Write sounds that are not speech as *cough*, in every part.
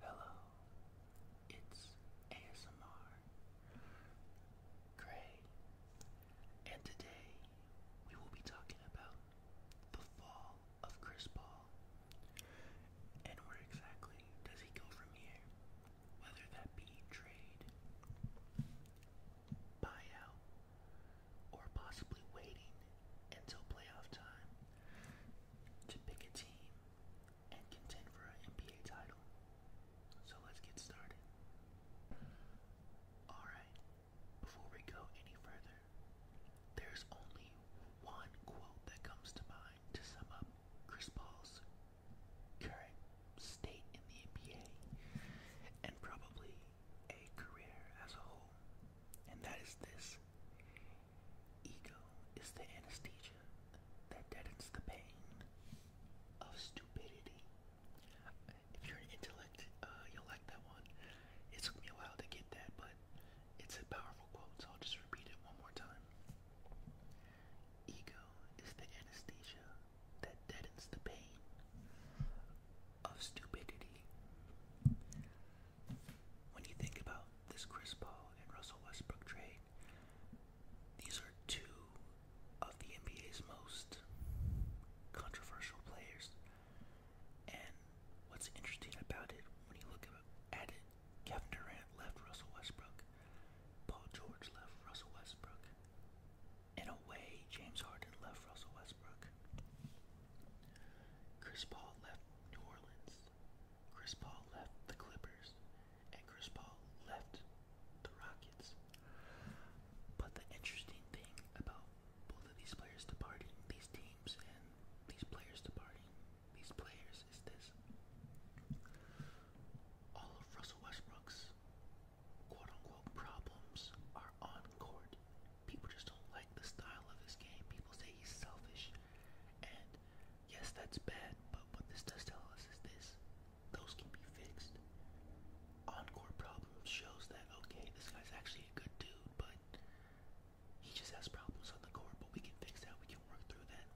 Hello, it's ASMR Gray, and today we will be talking about the fall of Chris Paul and where exactly does he go from here, whether that be trade, buyout or possibly waiting until playoff time to pick a team and contend for an NBA title. So let's get started. Alright, before we go any further, there's only one quote that comes to mind to sum up Chris Paul's current state in the NBA and probably a career as a whole. And that is this ego is the anesthesia that deadens the pain of stupidity. If you're an intellect, uh, you'll like that one. It took me a while to get that, but it's a powerful quote, so I'll just repeat it one more time. Ego is the anesthesia that deadens the pain of stupidity. When you think about this Chris Paul and Russell Westbrook trade, these are two of the NBA's most controversial players. And what's interesting about it, when you look at it, Kevin Durant left Russell Westbrook, Paul George left Russell Westbrook, in a way, James Harden left Russell Westbrook. Chris Paul left New Orleans. Chris Paul left the Clippers. And Chris Paul left the Rockets. But the interesting thing about both of these players departing, these teams and these players departing, these players is this. All of Russell Westbrook's quote unquote problems are on People just don't like the style of his game. People say he's selfish. And yes, that's bad, but what this does tell us is this those can be fixed. Encore problems shows that, okay, this guy's actually a good dude, but he just has problems on the court, but we can fix that, we can work through that.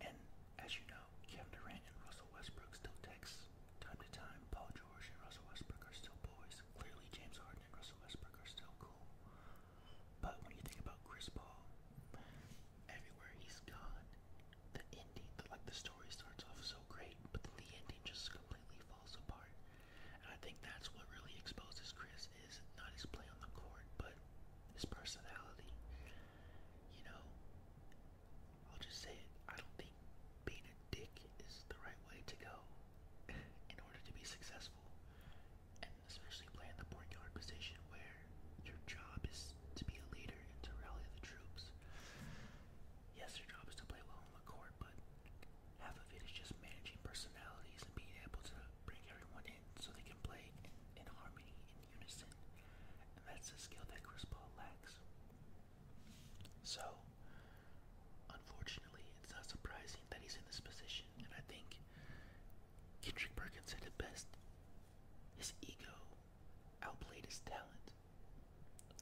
And as you know, Kevin Durant and Russell Westbrook still text time to time. Paul George and Russell Westbrook are still boys. Clearly, James Harden and Russell Westbrook are still cool. But when you think about Chris Paul, everywhere he's gone, the ending, the, like the story starts off so great, but then the ending just completely falls apart. And I think that's what really exposes Chris is not his play on the court, but his personality. You know, I'll just say it. I don't think being a dick is the right way to go *laughs* in order to be successful. And especially playing the point guard position where your job is to be a leader and to rally the troops. Yes, your job is to play well on the court, but half of it is just managing personalities and being able to bring everyone in so they can play in, in harmony and unison, and that's a skill that Chris Paul lacks. So, unfortunately, it's not surprising that he's in this position, and I think Kendrick Perkins said it best his ego outplayed his talent,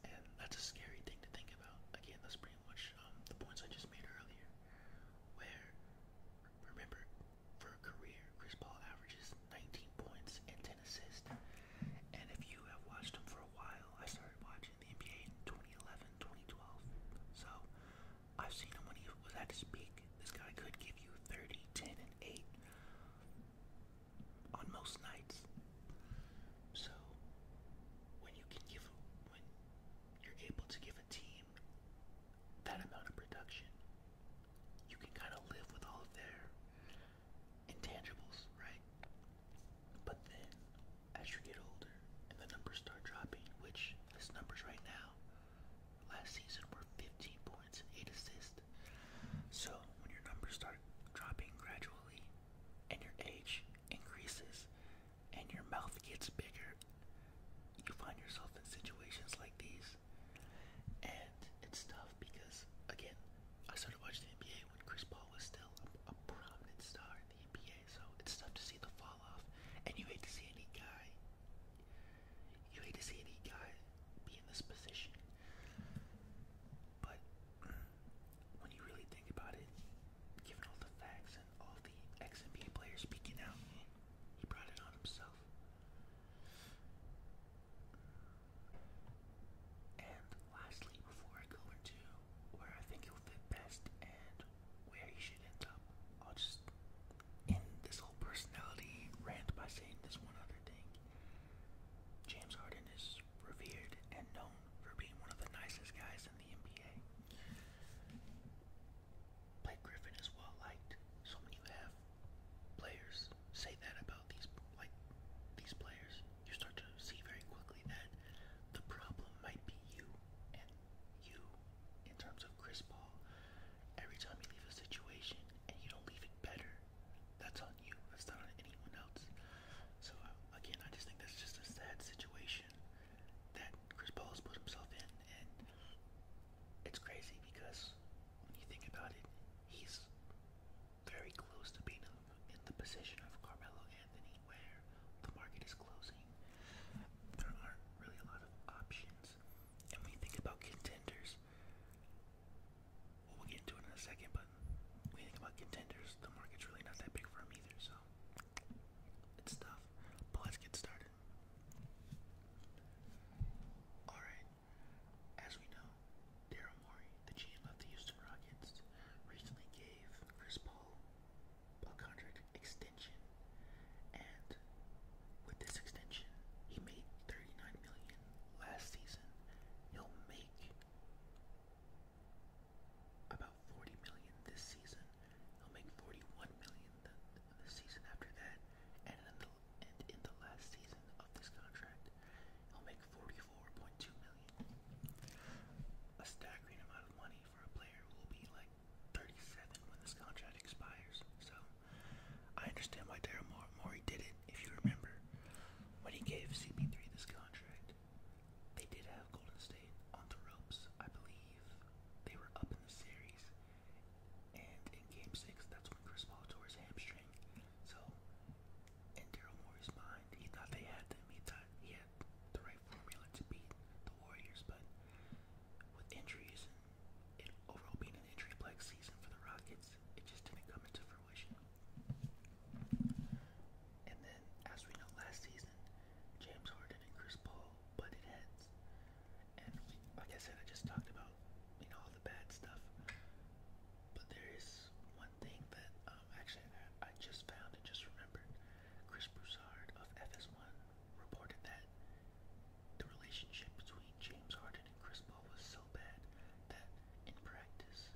and that's a scary thing to think about. Again, that's pretty much um, the points I just made earlier, where remember, for a career, Chris Paul averages 19 points and 10 assists. And if you have watched him for a while, I started watching the NBA in 2011, 2012. So I've seen him when he was at his peak. This guy could give you 30, 10, and 8 on most nights. So when you can give, when you're able to give a team that amount of production, you can kind of live with all of their intangibles, right? But then, as you get older and the numbers start dropping, which his numbers right now, last season were 15 points and 8 assists. So when your numbers start dropping gradually, and your age increases, and your mouth gets bigger, you find yourself in situations like these, and it's tough tough because, again, I started watching the NBA when Chris Paul was still a, a prominent star in the NBA, so it's tough to see the fall off. And you hate to see any guy, you hate to see any guy be in this position. But when you really think about it, given all the facts and all the ex NBA players speaking out, he brought it on himself. And lastly, before I go into where I think he'll fit best and where he should end up, I'll just end this whole personality rant by saying this one other thing. James Harden is revered and known for being one of the nicest guys in the NBA. Blake Griffin is well liked. So you have players say that about these like these players, you start to see very quickly that the problem might be you and you in terms of Chris Paul. Every time you leave a situation and you don't leave it better, that's on you. That's not on anyone else. So uh, again, I just think that's just a sad situation that Chris Paul has put himself in, and it's crazy because when you think about it, he's very close to being in the position of Carmelo Anthony, where the market is closing. There aren't really a lot of options. And when you think about contenders, we'll get into it in a second, but when you think about contenders, the market's really not that big for them either, so it's tough. But let's get started. Alright, as we know, Daryl Morey, the GM of the Houston Rockets, recently gave Chris Paul a contract extension, and with this extension, he made 39 million last season. He'll make about 40 million this season. He'll make 41 million the, the season after that, and then the and in the last season of this contract, he'll make forty-four point two million. A staggering amount of money for a player who will be like thirty-seven when this contract expires. So I understand why Daryl Morey did it. If you remember, when he gave CP3 this contract, they did have Golden State on the ropes, I believe. They were up in the series, and in Game Six, that's when Chris Paul tore his hamstring, so, in Daryl Morey's mind, he thought they had them. He thought he had the right formula to beat the Warriors, but with injuries and it overall being an injury plagued season for the Rockets, it just didn't come into fruition. And then, as we know, last season, James Harden and Chris Paul butted heads. And like I said, I just talked about about you know all the bad stuff. But there is one thing that um, actually I, I just found and just remembered. Chris Broussard of FS1 reported that the relationship between James Harden and Chris Paul was so bad that in practice,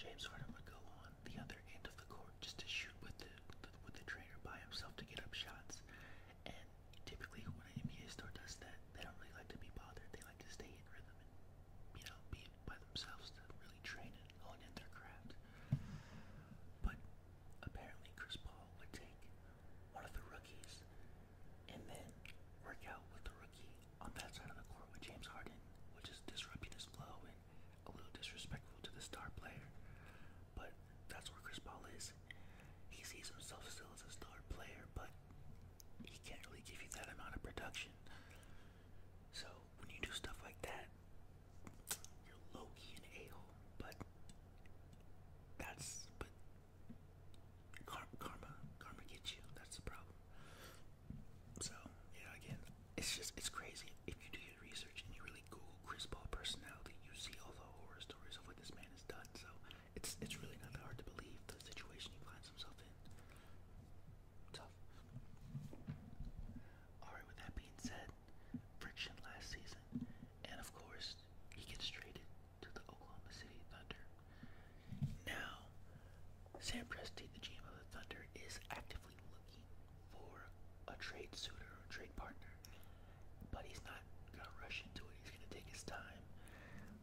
James Harden would go on the other end of the court just to shoot with the, the with the trainer by himself to get up shots, and typically when an NBA star does that, they don't really like to be bothered. They like to stay in rhythm and, you know, be by themselves to really train and hone in their craft. But apparently Chris Paul would take one of the rookies and then work out with the rookie on that side of the court with James Harden, which is disrupting his flow and a little disrespectful to the star player. But that's where Chris Paul is. He sees himself still as a star player, but he can't really give you that amount of production. So when you do stuff like that, you're low key an But that's but car karma karma gets you. That's the problem. So yeah, again, it's just it's crazy. If you do your research and you really Google Chris Paul personality, you see all the horror stories of what this man has done. So it's it's really not that hard to believe the situation he finds himself in. Tough. Alright, with that being said, friction last season. And of course, he gets traded to the Oklahoma City Thunder. Now, Sam Presti, the GM of the Thunder, is actively looking for a trade suitor or trade partner. But he's not gonna rush into it. He's gonna take his time.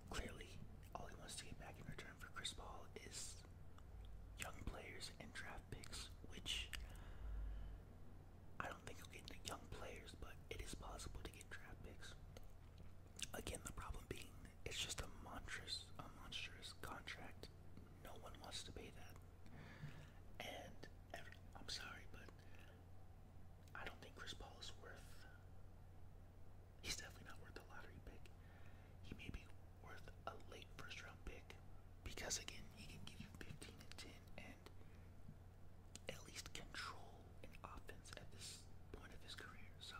Clearly, all he wants to get back in return for Chris Paul is young players and draft picks, which I don't think he'll get into young players, but it is possible to get draft picks. Again, the problem being it's just a monstrous, a monstrous contract. No one wants to pay that, and I'm sorry, but I don't think Chris Paul is worth He's definitely not worth a lottery pick. He may be worth a late first round pick because, again, he can give you 15 and 10 and at least control an offense at this point of his career. So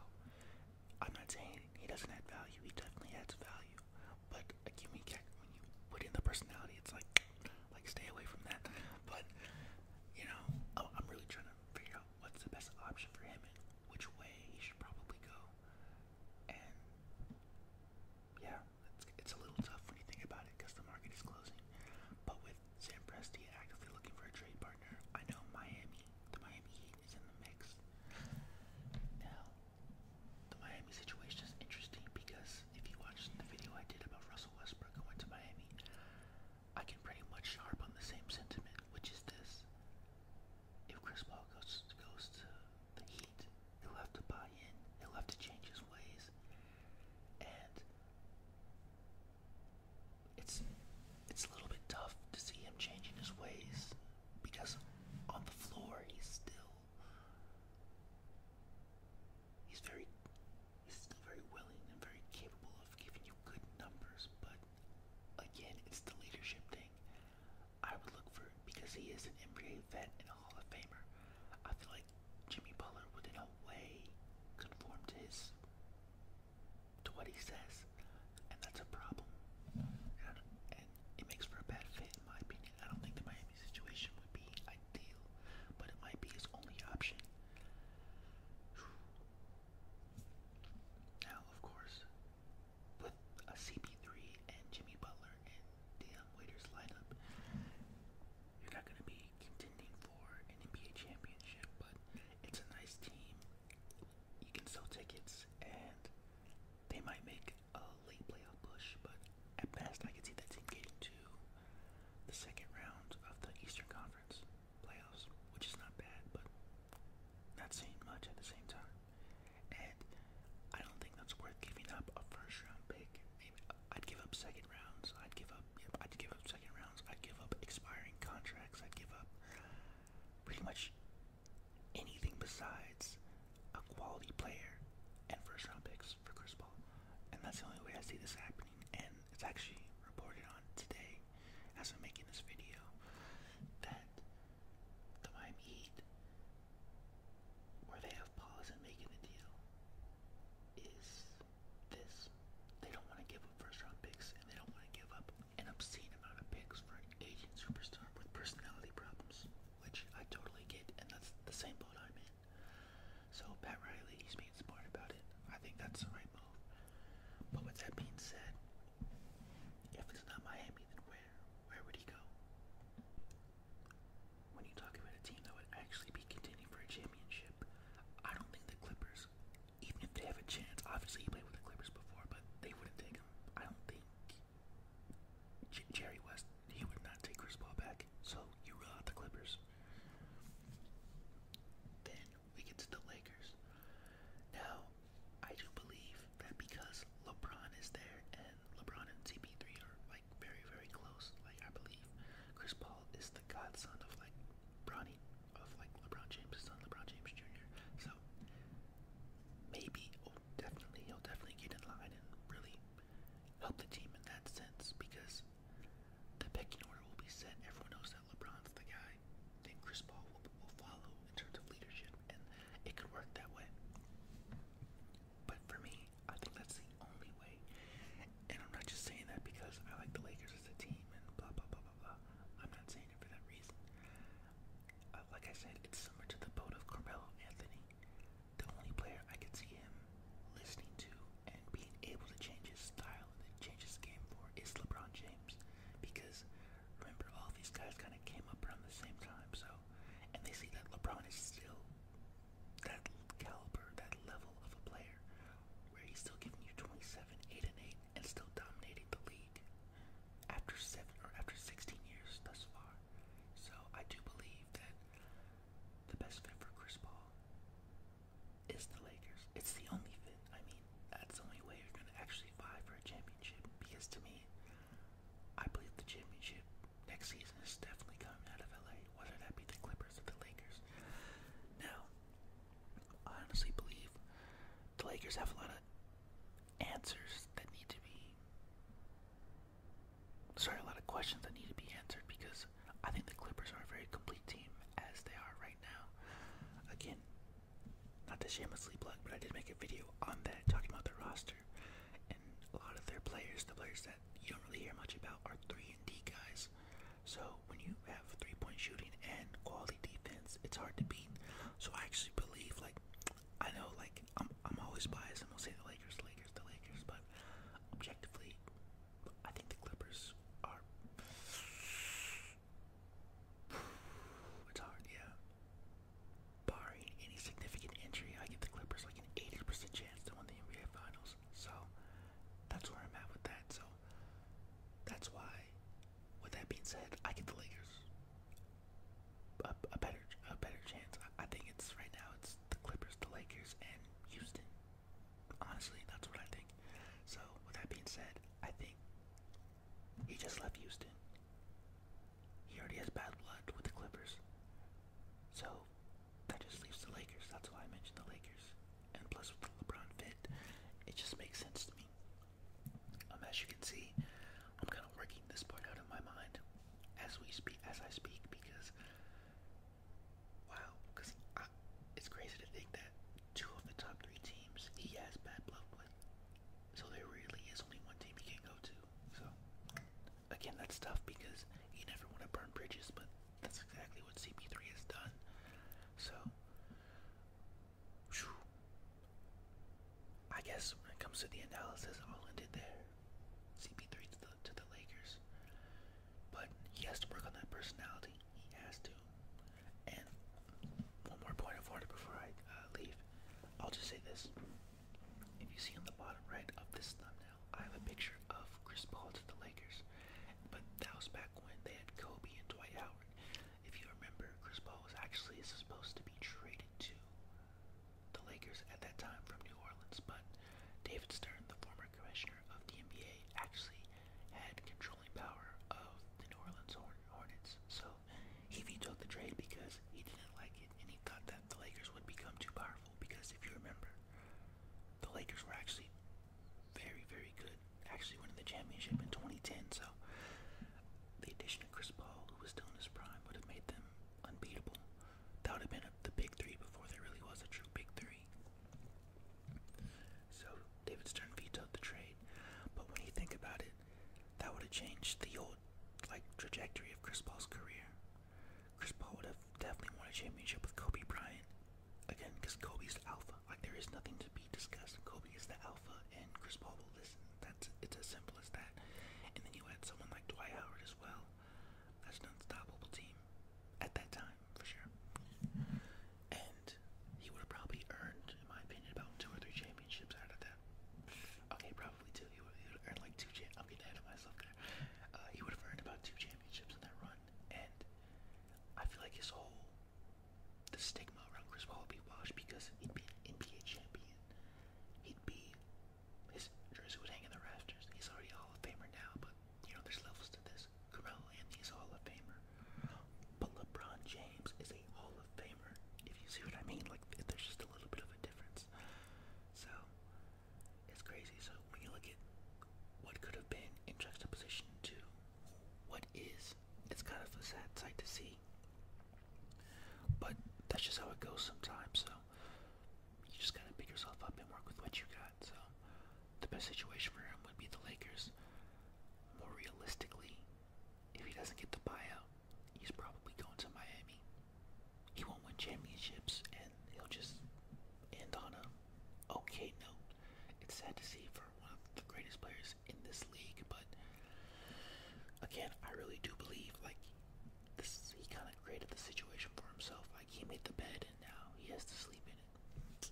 I'm not saying he doesn't add value, he definitely adds value. But again, when you put in the personality, it's like, like stay away from that. But you know, I'm really trying to figure out what's the best option for him and which way he should probably go. And yeah, it's, it's a little tough when you think about it because the market is closing. But with Sam Presti actively looking for a trade partner, I know Miami, the Miami Heat is in the mix. Now, the Miami situation is interesting because if you watched the video I did about Russell Westbrook going to Miami, I can pretty much harp on the same sentiment, which is this. If Chris Paul goes, goes to the Heat, he'll have to buy in, he'll have to change his ways, and it's it's a little bit tough to see him changing his ways because on the floor he's still he's very He's still very willing and very capable of giving you good numbers, but again, it's the leadership thing I would look for because he is an NBA vet and a Hall of Famer. I feel like Jimmy Butler would, in a way, conform to his to what he says, and that's a problem. And, and it makes for a bad fit, in my opinion. I don't think the Miami situation would be ideal, but it might be his only option. Now, of course, with a CP3 and Jimmy Butler and Deion Waiters lineup, you're not going to be contending for an NBA championship, but it's a nice team. You can sell tickets, and they might make a late playoff push, but at best, I could see that team getting to the second round of the Eastern Conference playoffs, which is not bad, but not saying much at the same time. And I don't think that's worth giving up a first round pick. I'd give up second rounds. I'd give up. Yep, I'd give up second rounds. I'd give up expiring contracts. I'd give up pretty much anything besides a quality player and first round picks for Chris Paul. And that's the only way I see this happening. And it's actually reported on today as I'm making this video that the Miami Heat, they have pause in making the deal, is this. They don't want to give up first round picks and they don't want to give up an obscene amount of picks for an aging superstar with personality problems, which I totally get, and that's the same boat I'm in. So, Pat Riley, he's smart about it. I think that's the right move. But with that being said, if it's not Miami, then where? Where would he go? When you talk about a team that would actually be contending for a championship, I don't think the Clippers, even if they have a chance, obviously he played with the Clippers before, but they wouldn't take him. I don't think Jerry West, he would not take Chris Paul back. So you rule out the Clippers. Then we get to the Lakers. Now, I do believe that because LeBron is there and LeBron and CP3 are like very, very close, like I believe Chris Paul is the godson of like Bronny, of like LeBron James' son, LeBron James Jr. So maybe, oh, definitely, he'll definitely get in line and really help the team in that sense because the picking order will be set. Everyone knows that LeBron's the guy guy, Chris Paul will, follow in terms of leadership, and it could work that way. But for me, I think that's the only way. And I'm not just saying that because I like the Lakers as a team and blah blah blah blah blah. I'm not saying it for that reason. Uh, like I said, it's similar to the boat of Carmelo Anthony. The only player I could see him listening to and being able to change his style and change his game for is LeBron James. James because remember all these guys kind of came up around the same time, so and they see that LeBron is still that caliber, that level of a player where he's still giving you 27, 8 and 8 and still dominating the league after 7 or after 16 years thus far. So I do believe that the best fit for Chris Paul is the Lakers. It's the only fit. I mean, that's the only way you're going to actually buy for a championship. Because to me, I believe the championship next season is definitely coming out of LA, whether that be the Clippers or the Lakers. Now, I honestly believe the Lakers have a lot of answers that need to be. Sorry, a lot of questions that need to be answered because I think the Clippers are a very complete team as they are right now. Again, not to shamelessly plug, but I did make a video on that talking about their roster. And a lot of their players, the players that you don't really hear much about, are 3 and D guys. So when you have three-point shooting and quality defense, it's hard to beat. So I actually believe, like, I know, like, I'm, I'm always biased and will say the Lakers, Lakers, the Lakers, but objectively, I think the Clippers are. It's hard, yeah. Barring any significant injury, I give the Clippers like an 80% chance to win the NBA Finals. So that's where I'm at with that. So that's why, with that being said, I give the Lakers a, a better a better chance. I think it's right now it's the Clippers, the Lakers, and Houston. Honestly, that's what I think. So, with that being said, I think he just left Houston. He already has bad blood with the Clippers. So, that just leaves the Lakers. That's why I mentioned the Lakers. And plus, with the LeBron fit, it just makes sense to me. Um, as you can see, I'm kind of working this part out in my mind as we speak, as I speak, because wow, because it's crazy to think that two of the top three teams he has bad blood with. So there really is only one team he can go to. So again, that's tough because you never want to burn bridges, but that's exactly what CP3 has done. So whew, I guess when it comes to the analysis, all ended there. CP3 to the to the Lakers, but he has to work on that personality. He has to. And one more point of order before I uh, leave. I'll just say this. If you see on the bottom right of this thumbnail, I have a picture of Chris Paul to the Lakers. But that was back when they had Kobe and Dwight Howard. If you remember, Chris Paul was actually supposed to be traded to the Lakers at that time from New Orleans, but David Stern, the former commissioner of the NBA, actually had controlling power of the New Orleans Hornets. So he vetoed the trade because he didn't like it, and he thought that the Lakers would become too powerful. Because if you remember, the Lakers were actually very, very good. Actually, winning the championship in 2010. So the addition of Chris Paul, who was still in his prime, would have made them unbeatable. That would have been a, the big three before there really was a true big three. So David Stern vetoed the trade, but when you think about it, that would have changed the old like trajectory of Chris Paul's career. Chris Paul would have definitely won a championship with Kobe Bryant again because Kobe's the alpha. Like there is nothing to be discussed. Kobe is the alpha, and Chris Paul will listen. That's it's as simple as that. And then you had someone like Dwight Howard as well. That's an unstoppable team at that time for sure. And he would have probably earned, in my opinion, about two or three championships out of that. Okay, probably two. He would have earned like two. I'm getting ahead of myself there. Uh, he would have earned about two championships in that run, and I feel like his whole the stigma around Chris Paul would be washed because he'd be an NBA champion. He'd be his jersey would hang in the rafters. He's already a Hall of Famer now, but you know there's levels to this. Carmelo Anthony's a Hall of Famer, but LeBron James is a Hall of Famer. If you see what I mean, like there's just a little bit of a difference. So it's crazy. So when you look at what could have been in juxtaposition to what is, it's kind of a sad sight to see. But that's just how it goes sometimes. So you just gotta pick yourself up and work with what you got. So the best situation for him would be the Lakers. More realistically, if he doesn't get the buyout, he's probably going to Miami. He won't win championships and he'll just end on a okay note. It's sad to see for one of the greatest players in this league, but again, I really do believe like this he kind of created the situation for himself. Like he made the bed and now he has to sleep in it.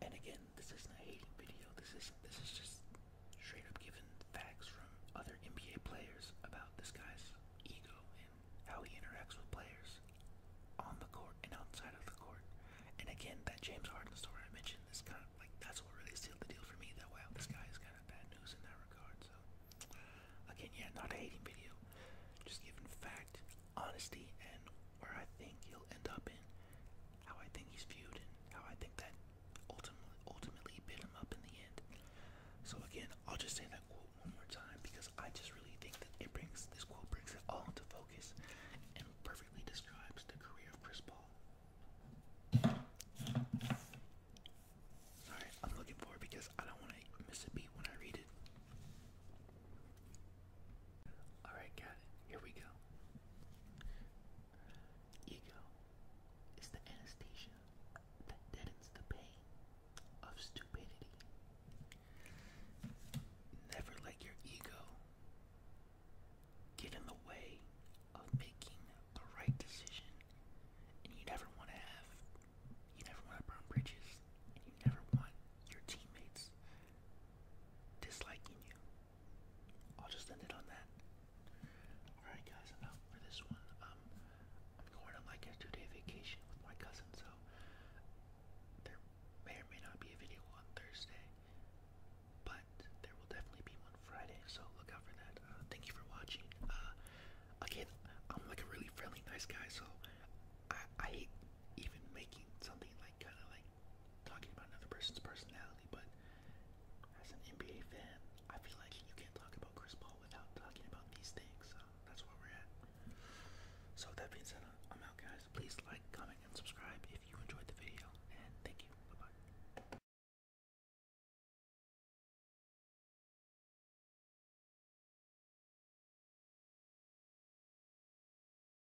And again, this isn't a hating video. This is this is just straight up giving facts from other NBA players about this guy's ego and how he interacts with players on the court and outside of the court. And again, that James Harden story I mentioned is kind of like that's what really sealed the deal for me. That wow, this guy is kind of bad news in that regard. So again, yeah, not a hating video, just giving fact honesty and where I think he'll end up in, how I think he's viewed, and how I think that ultimately ultimately bit him up in the end. So again, I'll just say that quote one more time because I just really think that it brings this quote brings it all into focus and perfectly describes the career of Chris Paul. Sorry, I'm looking for it because I don't want to miss a beat when I read it. Alright, got Here we go. Ego is the anesthesia that deadens the pain of stupidity. Never let your ego get in the way of making the right decision. And you never want to have, you never want to burn bridges, and you never want your teammates disliking you. I'll just end it on that. Alright guys, enough for this one. Um I'm going on like a two-day vacation with my cousin, so there may or may not be a video on Thursday, but there will definitely be one Friday, so look out for that. Uh, thank you for watching. Uh, again, I'm like a really friendly, nice guy, so I, I hate even making something like kind of like talking about another person's personality, but as an NBA fan, I feel like you can't talk about Chris Paul without talking about these things. So that's where we're at. So that being said, I'm out, guys. Please like, comment, and subscribe if you enjoyed the video. And thank you. bye.